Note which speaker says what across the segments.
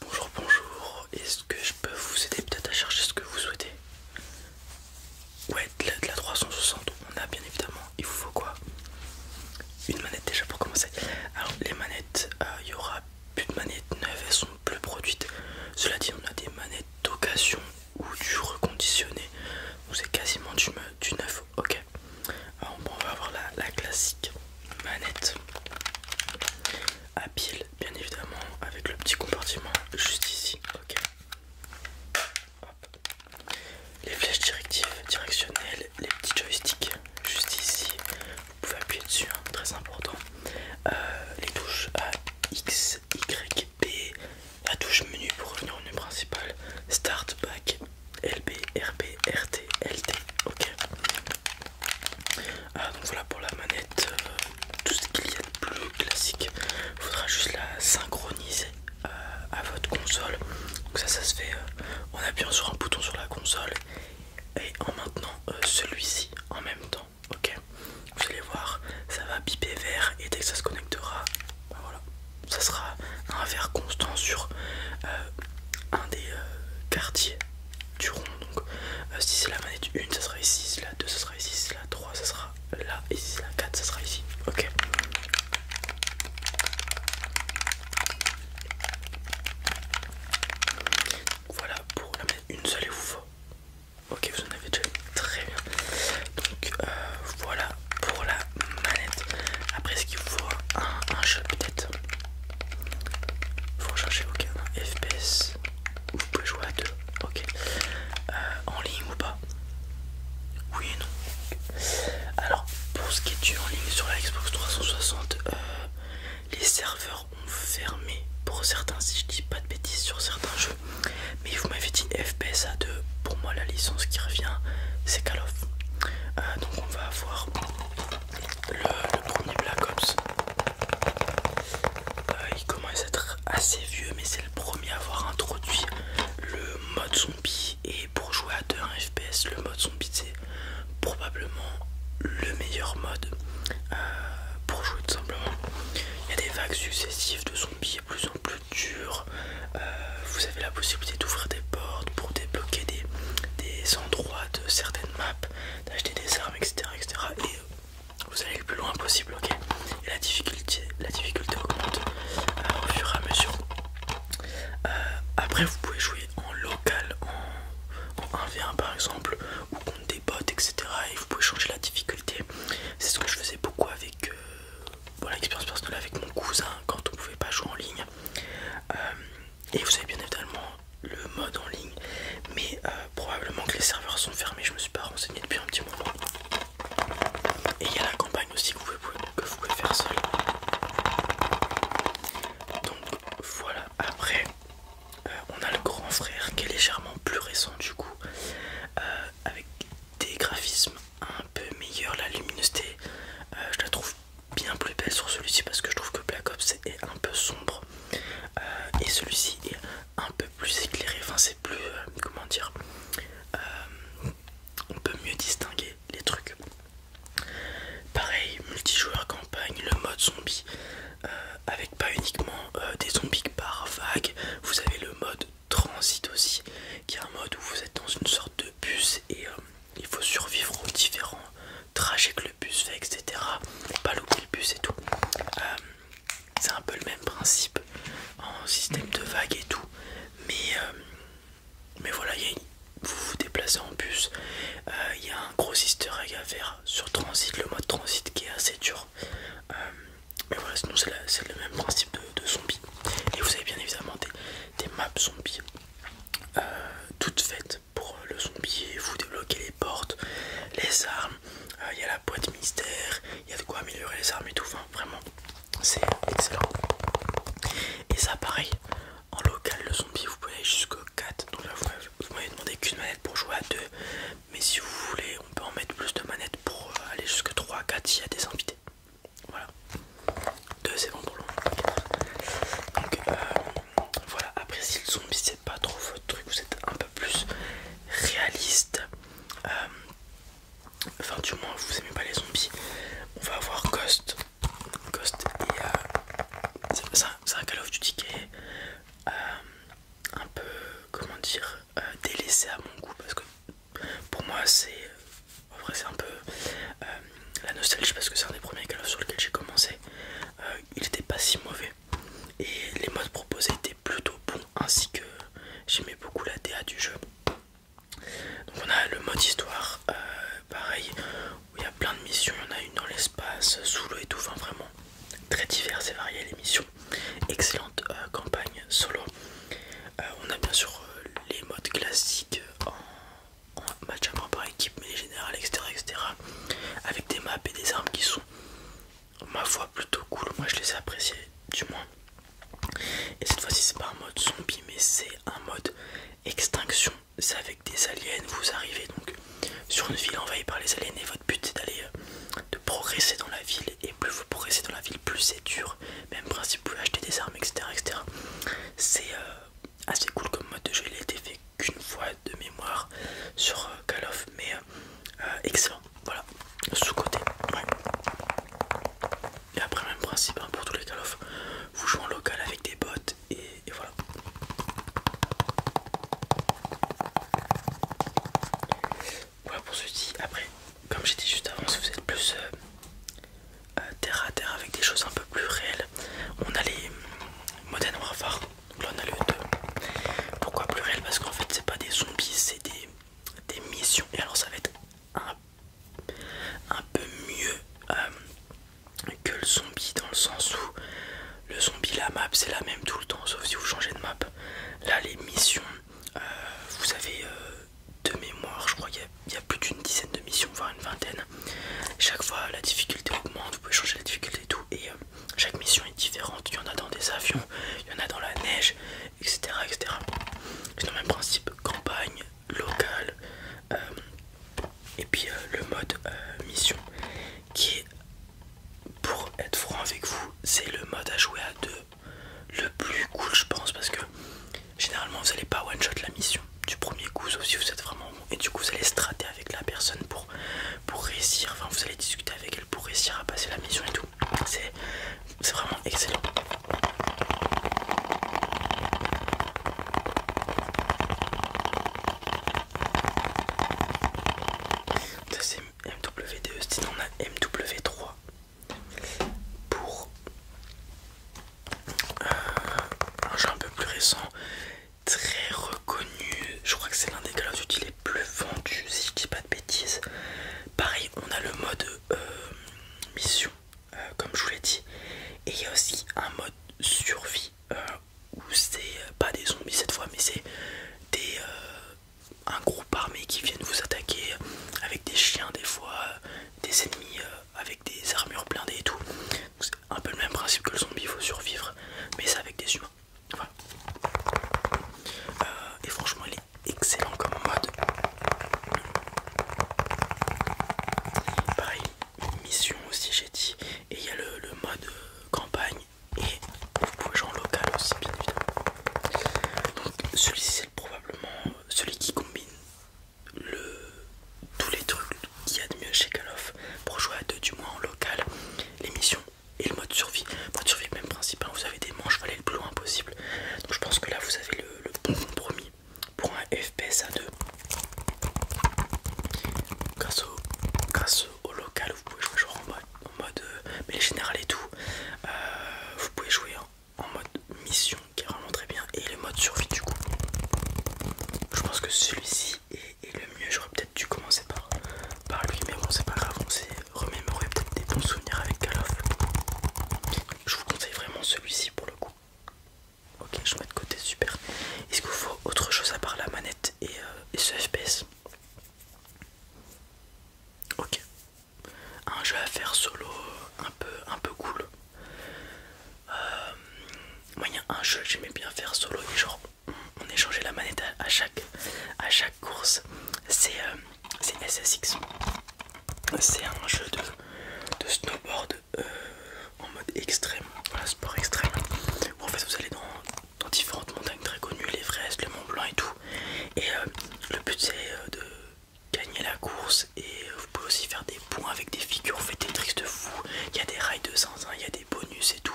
Speaker 1: Bonjour, bonjour, est-ce que je peux vous aider peut-être à chercher ce que vous souhaitez Ouais, de la, 360, on a bien évidemment, il vous faut quoi Une manette déjà pour commencer. Alors les manettes, euh, il y aura plus de manettes neuves, elles sont plus produites. Cela dit, on a des manettes d'occasion ou du reconditionné, Vous c'est quasiment du, neuf, ok. Alors bon, on va avoir la classique manette à pile, bien évidemment, avec le petit compartiment juste ici. Ok. Les flèches directives, directionnelles, les petits joysticks juste ici. Vous pouvez appuyer dessus, hein, très important. Euh, les touches A, X, Y, B. La touche menu pour revenir au menu principal. Start, back, LB, RB, RT, LT. Ok. Ah, donc voilà pour la manette, euh, tout ce qu'il y a de plus classique, il faudra juste la synchroniser euh, à votre console. Donc ça, ça se fait euh, en appuyant sur un bouton sur la console et en maintenant celui-ci en même temps. Ok, vous allez voir, ça va piper vert et dès que ça se connectera, ben voilà, ça sera un vert constant sur un des quartiers du rond. Donc euh, si c'est la manette 1, ça sera ici, si la 2, ça sera ici, si la 3, ça sera là, et si la 4, ça sera ici. Ok. Voilà pour la manette 1, ça les vous Ok, vous en avez déjà très bien. Donc euh, voilà pour la manette. Après, est-ce qu'il faut un, chat, peut-être faut chercher aucun FPS vous pouvez jouer à deux, ok. Euh, en ligne ou pas Oui et non. Alors pour ce qui est du en ligne sur la Xbox 360, euh, les serveurs ont fermé pour certains, si je dis pas de bêtises sur certains jeux. Mais vous m'avez dit FPS à 2, pour moi la licence qui revient c'est Call of. Euh, donc on va avoir le, premier Black Ops. Euh, il commence à être assez vieux, mais c'est le premier à avoir introduit le mode zombie. Et pour jouer à 2 FPS, le mode zombie c'est probablement le meilleur mode euh, pour jouer tout simplement. Il y a des vagues successives de zombies plus en plus dures. Euh, vous avez la possibilité d'ouvrir des portes pour débloquer des, endroits de certaines maps, d'acheter des armes, etc. et euh, vous allez le plus loin possible, ok Et la difficulté, la difficulté augmente euh, au fur et à mesure. Euh, après, vous pouvez jouer en local, en, 1v1 par exemple, ou contre des bots, etc. Et vous pouvez changer la difficulté. C'est ce que je faisais beaucoup avec voilà, l'expérience personnelle avec mon cousin quand on pouvait pas jouer en ligne. Euh, et vous avez bien évidemment le mode en ligne, mais euh, probablement que les serveurs sont fermés. Je me suis pas renseigné depuis un petit moment. Et il y a la campagne aussi que vous pouvez, faire seul. Donc voilà, après euh, on a le grand frère qui est légèrement plus récent du coup, avec des graphismes un peu meilleure la luminosité. Euh, je la trouve bien plus belle sur celui-ci parce que je trouve que Black Ops est un peu sombre euh, et celui-ci est un peu plus éclairé. Enfin, c'est plus euh, comment dire, on peut mieux distinguer les trucs. Pareil, multijoueur campagne, le mode zombie avec pas uniquement des zombies par vague. Vous avez le mode transit aussi, qui est un mode où vous êtes dans une sorte de bus et euh, il faut survivre aux différents trajets que le bus fait, etc. Pas louper le bus et tout. Euh, c'est un peu le même principe en système de vague et tout. Mais, euh, mais voilà, vous vous déplacez en bus. Il y a un gros easter egg à faire sur transit, le mode transit qui est assez dur. mais voilà, sinon c'est le même principe de, de zombie. Et vous avez bien évidemment des maps zombies euh, toutes faites pour le zombie. Vous débloquez les portes, les armes. Euh, il y a la boîte mystère. Il y a de quoi améliorer les armes et tout. vraiment, c'est excellent. Et ça, pareil, en local, le zombie, vous pouvez aller jusqu'au 4. Donc vous m'avez demandé qu'une manette pour jouer à 2. Mais si vous voulez, on peut en mettre plus de manettes pour euh, aller jusqu'à 3 4 s'il y a des invités. Voilà. Deux c'est bon pour l'ombre. Donc euh, voilà, après si le zombie c'est pas trop votre truc, vous êtes un peu plus réaliste. Euh, enfin du moins vous aimez pas les zombies. On va avoir Ghost. Ghost et c'est un Call of Duty qui est euh, un peu comment dire délaissé à mon goût parce que pour moi c'est un peu euh, la nostalgie parce que c'est un des premiers Call sur lequel j'ai commencé euh, il n'était pas si mauvais et les modes proposés étaient plutôt bons ainsi que j'aimais beaucoup la DA du jeu donc on a le mode histoire euh, pareil où il y a plein de missions il y en a une dans l'espace sous l'eau et tout enfin vraiment très diverses et variées les missions excellente campagne solo euh, on a bien sûr euh, les modes classiques euh, en, match à par équipe, mais les générales, etc., etc. Avec des maps et des armes qui sont, ma foi, plutôt cool. Moi, je les ai appréciés, du moins. Et cette fois-ci, c'est pas un mode zombie, mais c'est un mode extinction. C'est avec des aliens, vous arrivez donc sur une ville envahie par les aliens et votre but c'est d'aller de progresser dans la ville et plus vous progressez dans la ville plus c'est dur même principe pour acheter des armes etc etc c'est euh, assez cool comme mode de jeu il a été fait qu'une fois de mémoire sur euh, Call of mais euh, excellent voilà sous côté et après même principe hein, pour tous les Call of vous jouez en local avec des bots et voilà voilà pour ceci. Après, comme j'ai dit juste avant, si vous êtes plus euh, euh, terre à terre avec des choses un peu plus réelles, on a les Modern Warfare. on a le 2. Pourquoi plus réel Parce qu'en fait, c'est pas des zombies, c'est des, missions. Et alors, ça va être un, peu mieux euh, que le zombie dans le sens où le zombie, la map, c'est la même tout le temps, sauf si vous changez de map. Là, les missions, euh, vous avez euh, de mémoire, je crois qu'il y, a plus d'une dizaine de missions, voire une vingtaine. Chaque fois, la difficulté augmente, vous pouvez changer la difficulté et tout. Et euh, chaque mission est différente. Il y en a dans des avions, il y en a dans la neige, etc. C'est le même principe campagne, locale, et puis le mode mission qui est pour être franc avec vous, c'est le mode à jouer à deux le plus cool je pense parce que généralement vous allez pas one shot la mission du premier coup sauf si vous êtes vraiment bon et du coup vous allez strater avec la personne pour, pour réussir, enfin vous allez discuter avec elle pour réussir à passer la mission et tout. C'est vraiment excellent. c'est MW2, sinon on a MW3 pour euh, un jeu un peu plus récent, très reconnu. Je crois que c'est l'un des Call of Duty les plus vendus, si je dis pas de bêtises. Pareil, on a le mode euh, mission, euh, comme je vous l'ai dit, et il y a aussi un mode survie. où c'est pas des zombies cette fois mais c'est des, un groupe armé qui viennent vous attaquer avec des chiens des fois, des ennemis euh, avec des armures blindées et tout. C'est un peu le même principe que le zombie, il faut survivre, mais c'est avec des humains. Euh, et franchement, il est excellent comme mode. Pareil, mission aussi j'ai dit. Et il y a le mode euh, campagne et vous pouvez jouer en local aussi bien évidemment. Donc celui-ci c'est probablement euh, celui qui combine le, tous les trucs qu'il y a de mieux chez Call of pour jouer à deux du moins en local, les missions et le mode survie. Mode survie même principe, vous avez des manches, vous aller le plus loin possible. Donc je pense que là vous avez le, bon compromis pour un FPS à 2. Grâce au, local vous pouvez jouer en mode en mode euh, mais et tout euh, vous pouvez jouer en, mode mission qui est vraiment très bien et le mode survie du coup je pense que celui-ci est, le mieux j'aurais peut-être dû commencer par, par lui mais bon c'est pas grave on s'est remémoré peut-être des bons souvenirs avec Call je vous conseille vraiment celui-ci pour le coup ok je mets de côté super est-ce qu'il vous faut autre chose à part la manette et, euh, et ce FPS Ok. Un jeu à faire solo un peu, un peu cool. Euh, Moyen, un jeu que j'aimais bien faire solo et genre on échangeait la manette à, chaque, course. C'est euh, SSX. C'est un jeu de, snowboard euh, en mode extrême, sport extrême. en fait vous allez dans dans différentes montagnes très connues, les l'Everest, le Mont Blanc et tout. Et euh, le but c'est euh, de gagner la course et euh, vous pouvez aussi faire des points avec des figures, vous faites des tricks de fou, il y a des rails de zinzin, il y a des bonus et tout,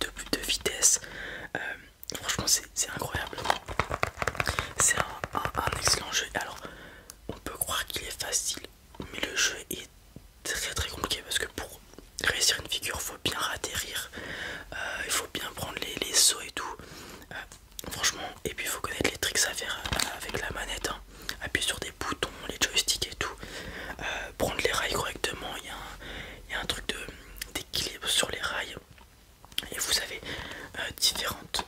Speaker 1: de de vitesse. franchement c'est incroyable. C'est un excellent jeu. Alors on peut croire qu'il est facile, mais le jeu est très très compliqué parce que pour réussir une figure, il faut bien atterrir, euh, il faut bien prendre les, sauts et tout. Euh, franchement, et puis il faut connaître les tricks à faire euh, avec la manette. Hein. Appuyer sur des boutons, les joysticks et tout. prendre les rails correctement, il y, a un truc d'équilibre sur les rails. Et vous avez différentes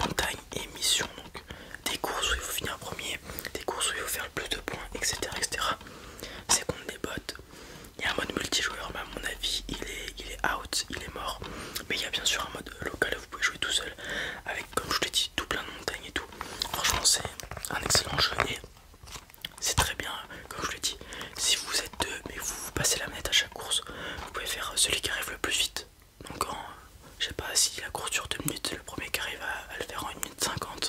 Speaker 1: montagnes et missions, donc des courses où il faut finir premier, des courses où il faut faire le plus de points, etc. C'est contre des bots. Il y a un mode multijoueur, mais à mon avis, il est, il est out, il est mort. Mais il y a bien sûr un mode local où vous pouvez jouer tout seul, avec, comme je l'ai dit, tout plein de montagnes et tout. Franchement, c'est un excellent jeu et c'est très bien, comme je l'ai dit. Si vous êtes deux, mais vous, vous passez la manette à chaque course, vous pouvez faire celui qui arrive le plus vite. Donc, quand, je sais pas si la course dure 2 minutes, le premier qui arrive à, à le faire en 1 minute 50.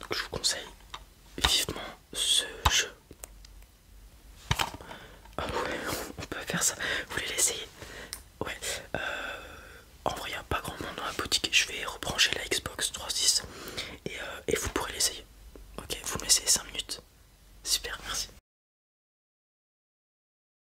Speaker 1: Donc je vous conseille vivement ce jeu. Ah ouais, on peut faire ça. Vous voulez l'essayer Ouais. Euh, en vrai, il a pas grand monde dans la boutique. Je vais rebrancher la Xbox 360 et, euh, et vous pourrez l'essayer. Ok, vous me laissez 5 minutes. Super, merci.